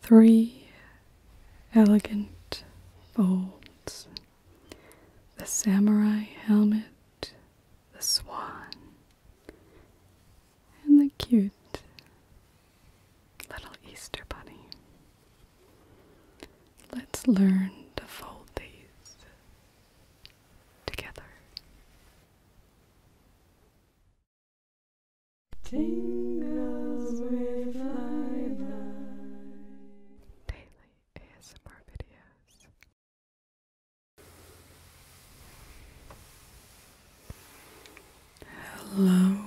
Three elegant folds the samurai helmet, the swan, and the cute little Easter bunny. Let's learn to fold these together. Tingles with Lilac. Daily ASMR videos. Hello.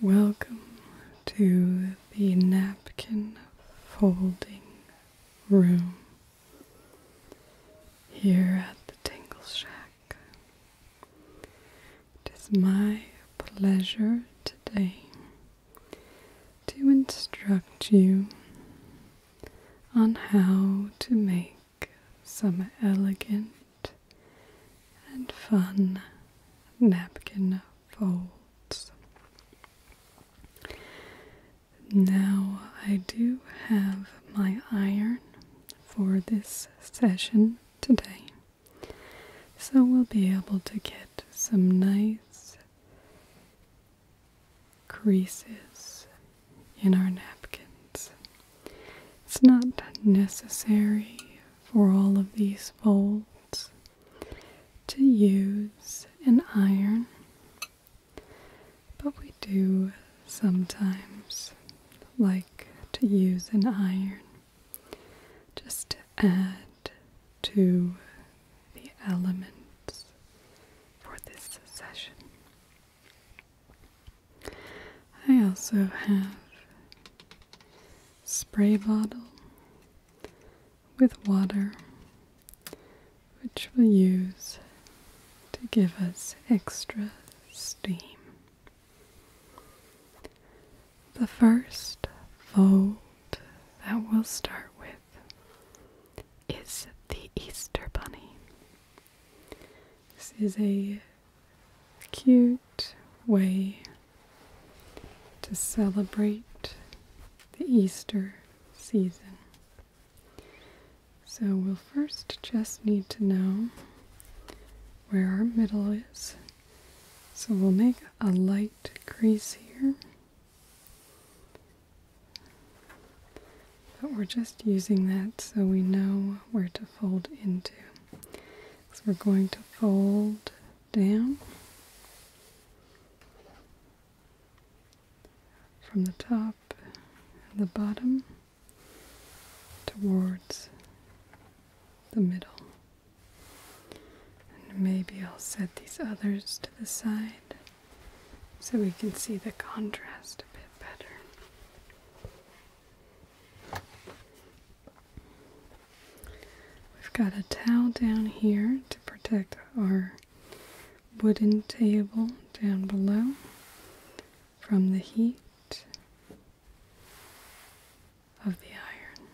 Welcome to the napkin folding room here at the Tingle Shack. It is my pleasure today to instruct you on how to make some elegant and fun napkin folds. Now I do have my iron for this session today. So we'll be able to get some nice creases in our napkins. It's not necessary for all of these folds to use an iron. But we do sometimes like to use an iron just to add to the elements for this session. I also have spray bottle with water which we'll use to give us extra steam. The first fold that we'll start with is the Easter Bunny. This is a cute way to celebrate the Easter season. So we'll first just need to know where our middle is. So we'll make a light crease here. But we're just using that so we know where to fold into. So we're going to fold down from the top and the bottom towards the middle. And maybe I'll set these others to the side so we can see the contrast a bit better. We've got a towel down here to protect our wooden table down below from the heat of the iron.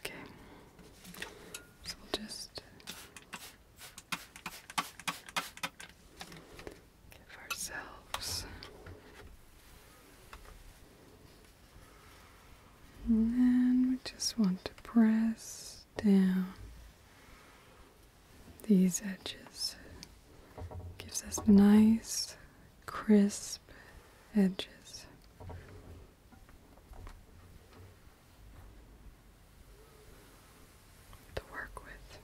Okay, so we'll just give ourselves and then we just want to press down these edges. Gives us nice, crisp edges. To work with.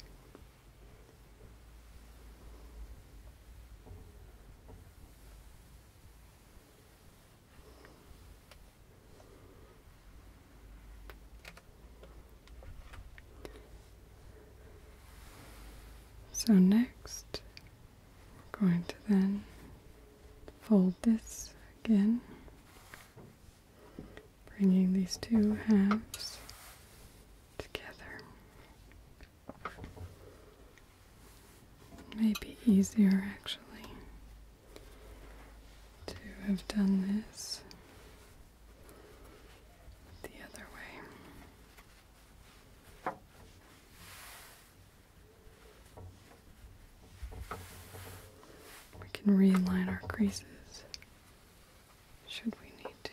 So, next, we're going to then fold this again, bringing these two halves together. Maybe easier actually to have done this the other way. We can realign our creases should we need to.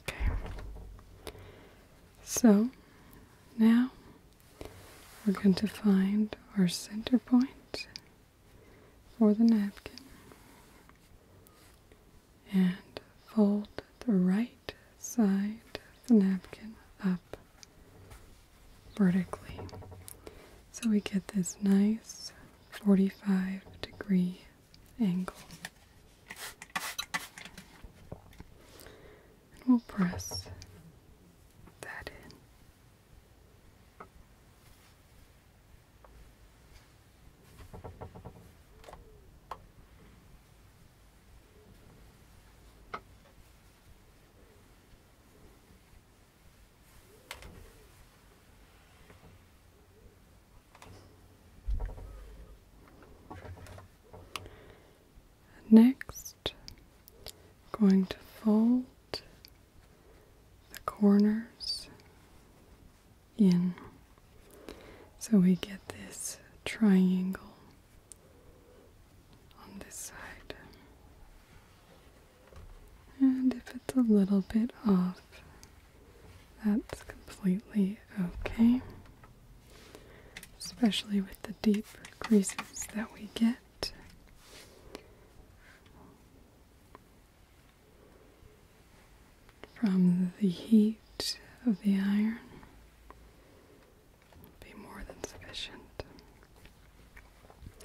Okay. So now we're going to find our center point for the napkin and fold the right side of the napkin up vertically so we get this nice 45 degree angle. And we'll press that in. Next, going to fold the corners in so we get this triangle on this side. And if it's a little bit off, that's completely okay especially with the deep creases that we get. From the heat of the iron, be more than sufficient.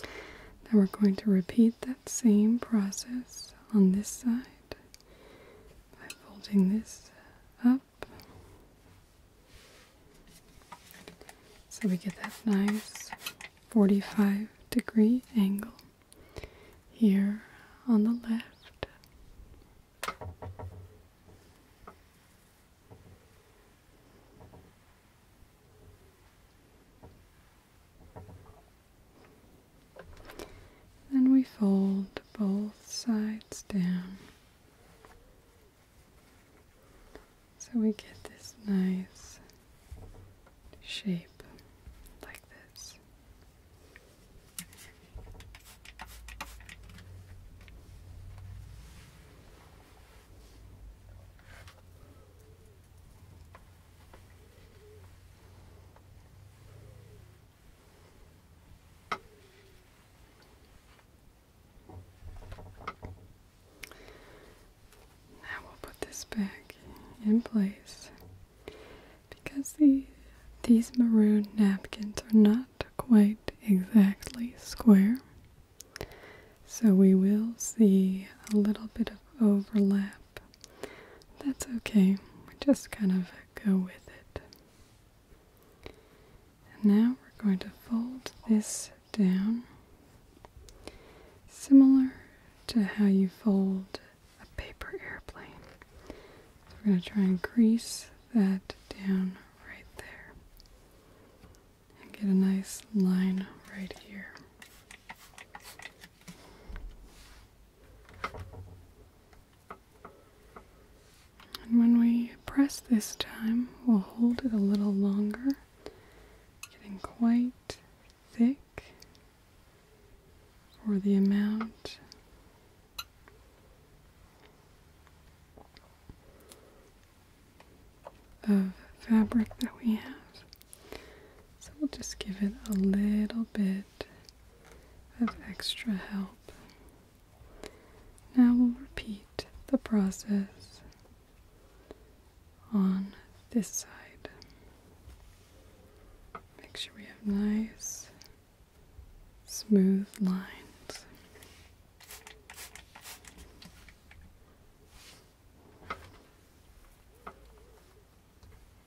Now we're going to repeat that same process on this side by folding this up so we get that nice 45 degree angle here on the left. Then we fold both sides down so we get this nice shape like this. Now we'll put this back in place because the, these maroon napkins are not quite exactly square. So we will see a little bit of overlap. That's okay. We Just kind of go with it. And now we're going to fold this down, similar to how you fold a paper airplane. we're going to try and crease that down right there and get a nice line right here. And when we press this time, we'll hold it a little longer, getting quite thick for the amount of fabric that we have. So we'll just give it a little bit of extra help. Now we'll repeat the process on this side. Make sure we have nice, smooth lines.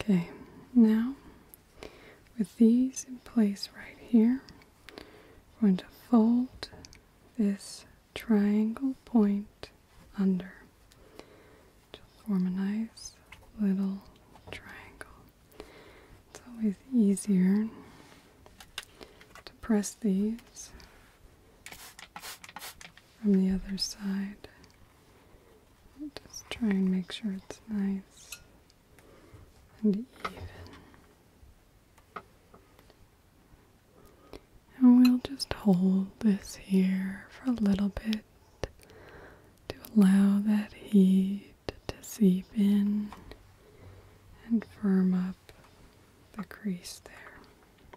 Okay, now with these in place right here, I'm going to fold this triangle point under to form a nice little triangle. It's always easier to press these from the other side. Just try and make sure it's nice and even. And we'll just hold this here for a little bit to allow that heat to seep in and firm up the crease there.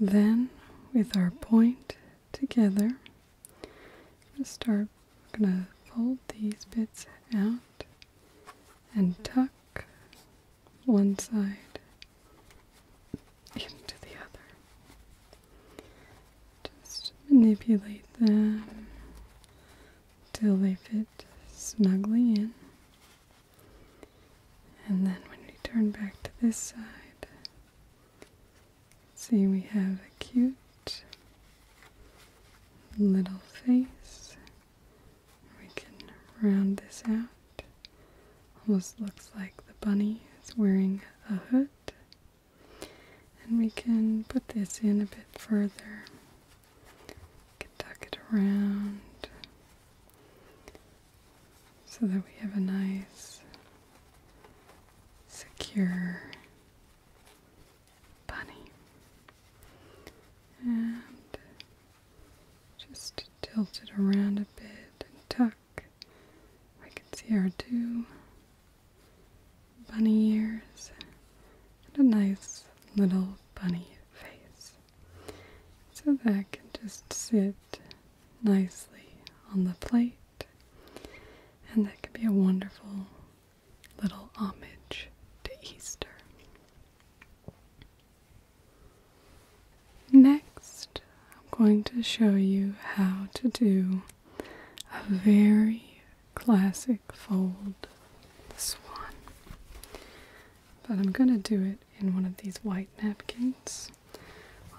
Then, with our point together, I'm going to start, I'm going to fold these bits out and tuck one side into the other. Just manipulate them till they fit snugly in. And then when we turn back to this side, see we have a cute little face. We can round this out. Almost looks like the bunny is wearing a hood. And we can put this in a bit further can tuck it around so that we have a nice, secure bunny. And just tilt it around a bit and tuck. We can see our two bunny ears and a nice little bunny face. So that can just sit nicely on the plate, and that can be a wonderful little homage to Easter. Next, I'm going to show you how to do a very classic fold, this one. But I'm going to do it in one of these white napkins.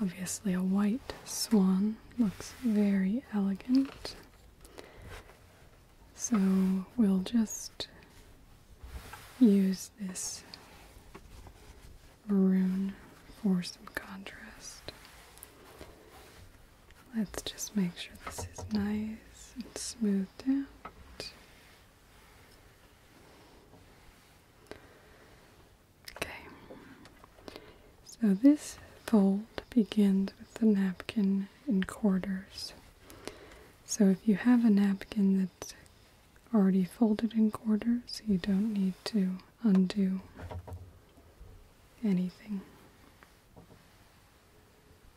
Obviously, a white swan looks very elegant. So we'll just use this maroon for some contrast. Let's just make sure this is nice and smooth Okay, so this fold begins with the napkin in quarters. So if you have a napkin that's already folded in quarters, you don't need to undo anything.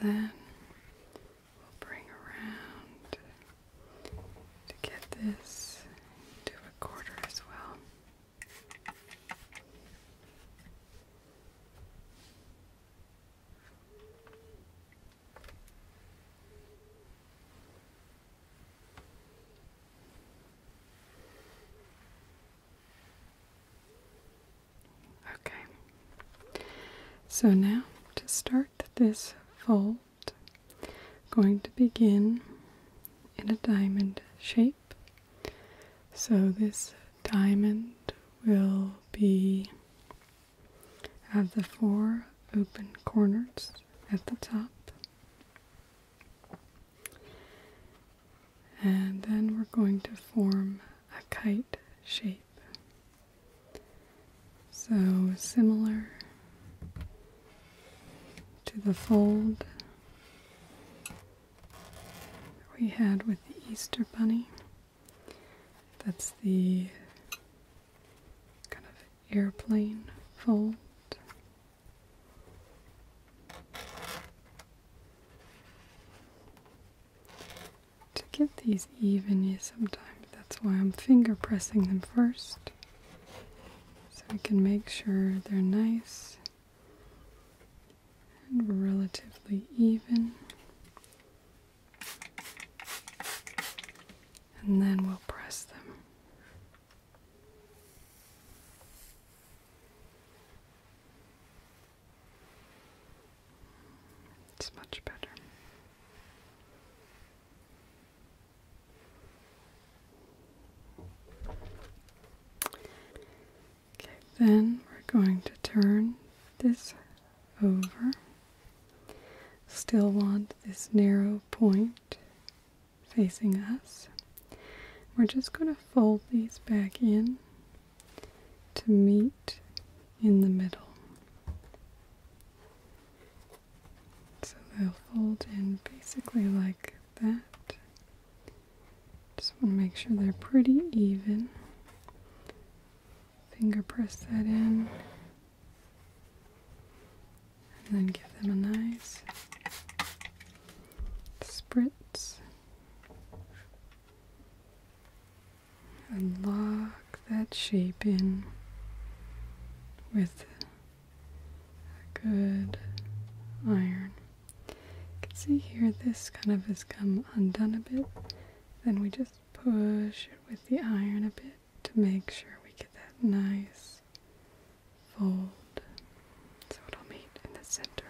And then we'll bring around to get this to a quarter as well. Okay, so now to start this fold, going to begin in a diamond shape. So this diamond will be have the four open corners at the top. And then we're going to form a kite shape. So similar to the fold we had with the Easter Bunny. That's the kind of airplane fold. To get these even, you sometimes that's why I'm finger pressing them first so I can make sure they're nice and relatively even. And then we'll press them. It's much better. Okay, then we're going to turn this over. Still want this narrow point facing us. We're just going to fold these back in to meet in the middle. So they'll fold in basically like that. Just want to make sure they're pretty even. Finger press that in. And then give them a nice spritz and lock that shape in with a good iron. You can see here this kind of has come undone a bit. Then we just push it with the iron a bit to make sure we get that nice fold so it'll meet in the center.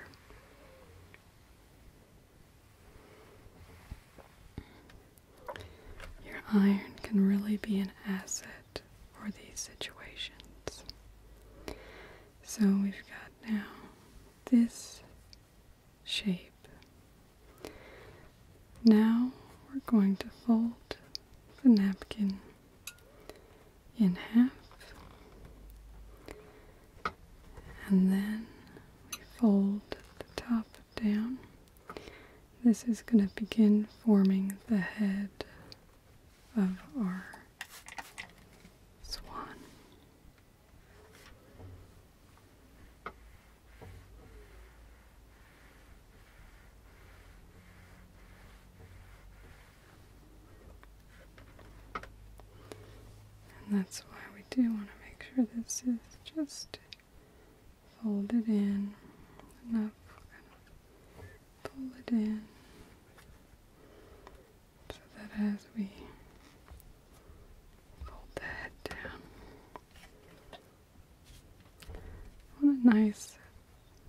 Your iron can really be an asset for these situations. So we've got now this shape. Now we're going to fold the napkin in half, and then we fold the top down. This is going to begin forming the head of our swan. And that's why we do want to make sure this is just folded in enough. Kind of pull it in so that as we fold that down, I want a nice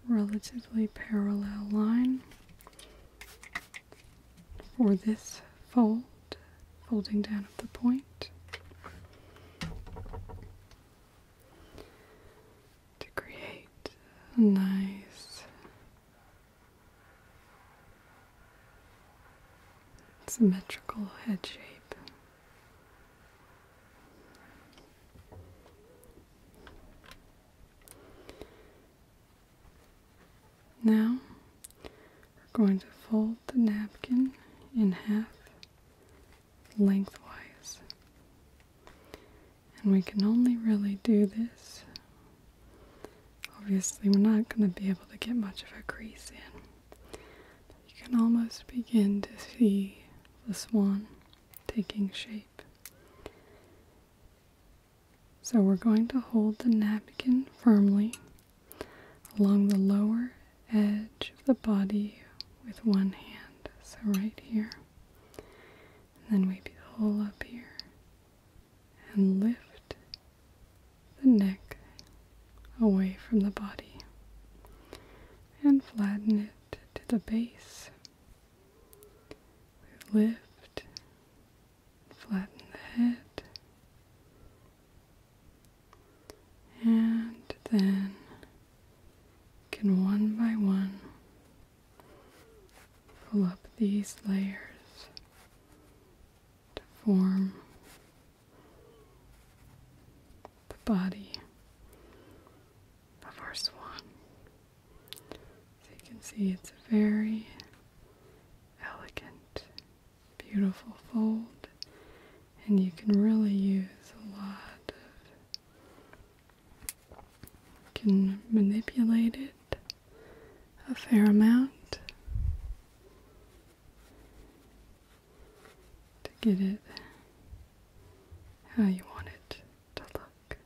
relatively parallel line for this fold, folding down of the point. To create a nice symmetrical head shape. Now we're going to fold the napkin in half lengthwise. And we can only really do this. Obviously, we're not going to be able to get much of a crease in. you can almost begin to see the swan taking shape. So we're going to hold the napkin firmly along the lower edge of the body with one hand. So right here. And then we pull up here and lift the neck away from the body and flatten it to the base we lift, flatten the head, and then can one by one pull up these layers to form the body of our swan. So you can see it's a very elegant, beautiful fold, and you can really use a lot of, can manipulate it a fair amount to get it how you want it to look.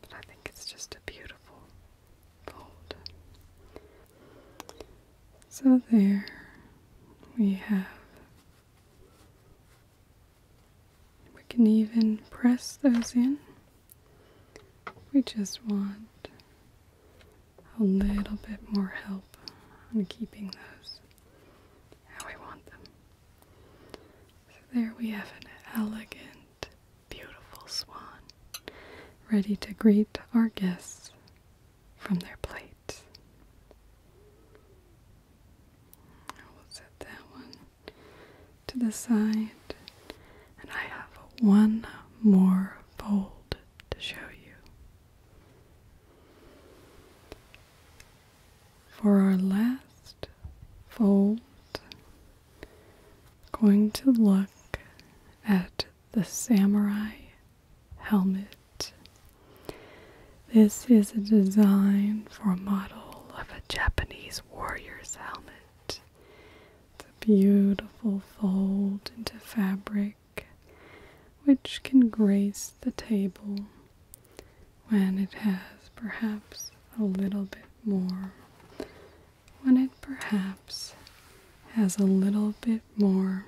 But I think it's just a beautiful fold. So there we have. We can even press those in. We just want a little bit more help on keeping those how we want them there we have an elegant, beautiful swan ready to greet our guests from their plates. I will set that one to the side. And I have one more fold to show you. For our last fold, going to look at the samurai helmet. This is a design for a model of a Japanese warrior's helmet. The beautiful fold into fabric which can grace the table when it has perhaps a little bit more, when it perhaps has a little bit more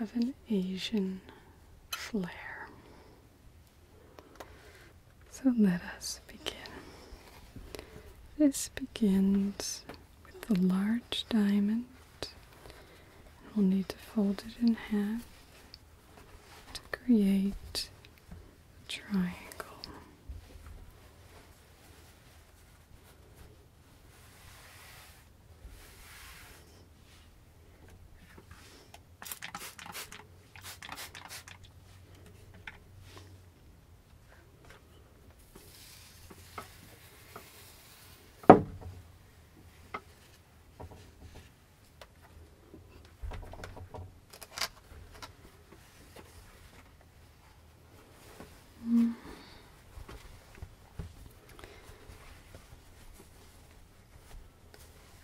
of an Asian flair. So let us begin. This begins with the large diamond. We'll need to fold it in half to create a triangle.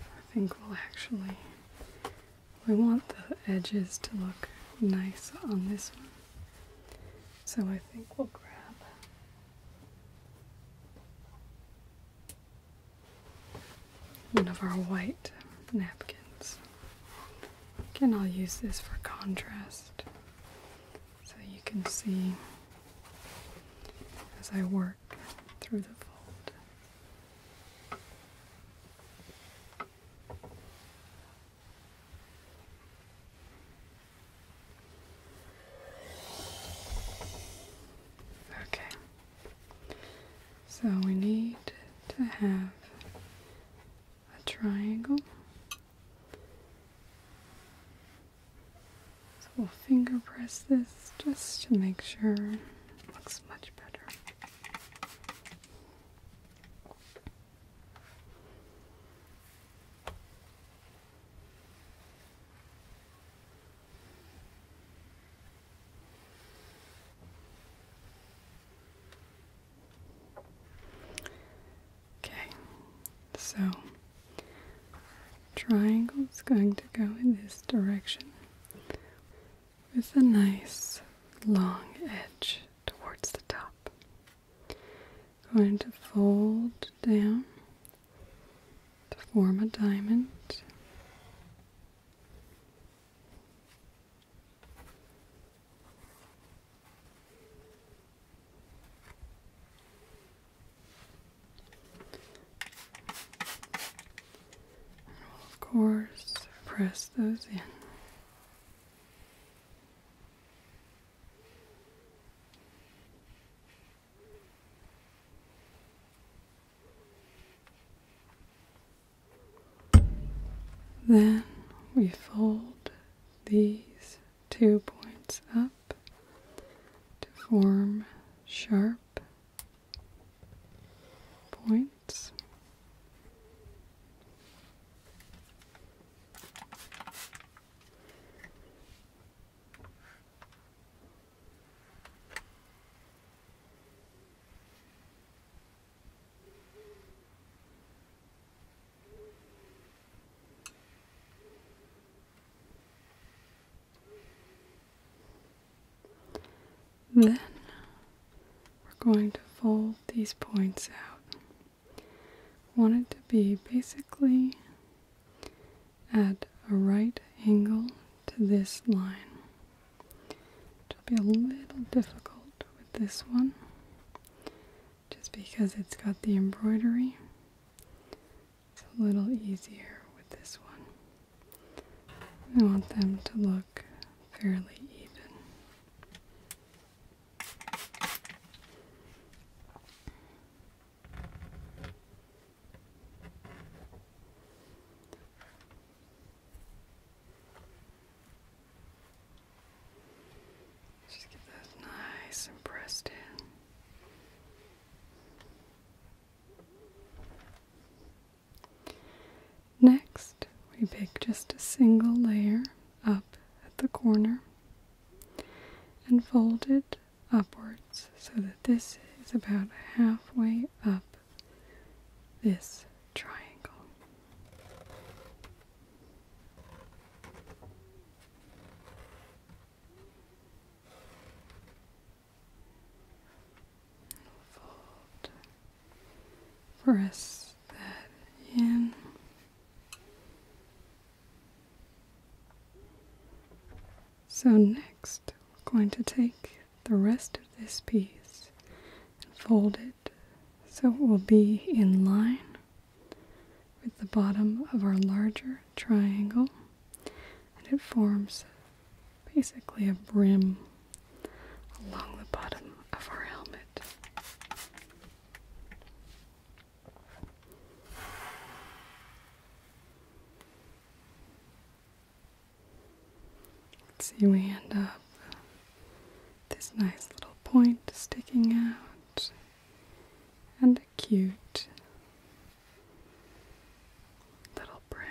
I think we'll actually, we want the edges to look nice on this one. So I think we'll grab one of our white napkins. Again, I'll use this for contrast so you can see as I work through the fold. Okay, so we need to have a triangle. So we'll finger press this just to make sure it looks much better. Okay, so triangle is going to go in this direction with a nice long edge towards the top. Going to fold down to form a diamond. And we'll, of course, press those in. Then we fold these two points up to form sharp points then we're going to fold these points out. want it to be basically at a right angle to this line. It'll be a little difficult with this one just because it's got the embroidery. It's a little easier with this one. I want them to look fairly even. Just get those nice and pressed in. Next, we pick just a single layer up at the corner and fold it upwards so that this is about halfway up this triangle. Fold. Press that in. So next, we're going to take the rest of this piece and fold it so it will be in line with the bottom of our larger triangle and it forms basically a brim along the bottom of our helmet. Let's see, we end up this nice little point sticking out and a cute little brim.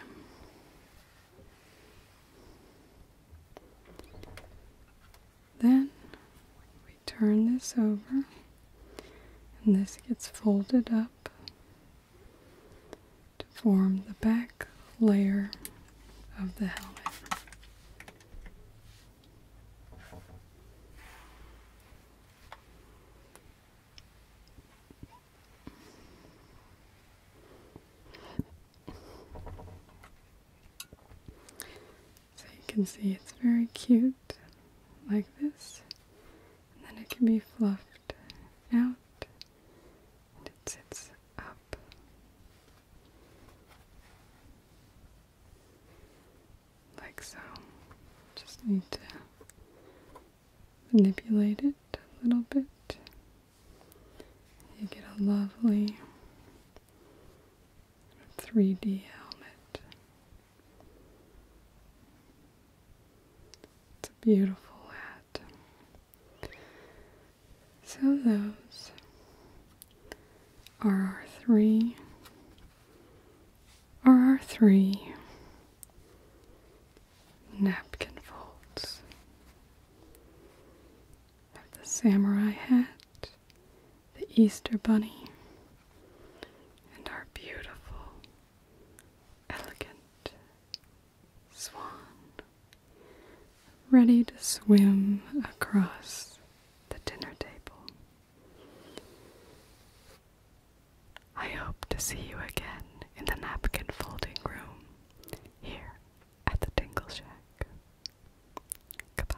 Then we turn this over, and this gets folded up to form the back layer of the helmet. So you can see it's very cute like this, and then it can be fluffed out and it sits up. Like so. Just need to manipulate it a little bit. You get a lovely 3D helmet. It's a beautiful hat. So, those are our three, are our three napkin folds of the samurai hat, the Easter bunny, and our beautiful elegant swan ready to swim across the dinner table. I hope to see you again in the napkin folding room here at the Tingle Shack. Goodbye.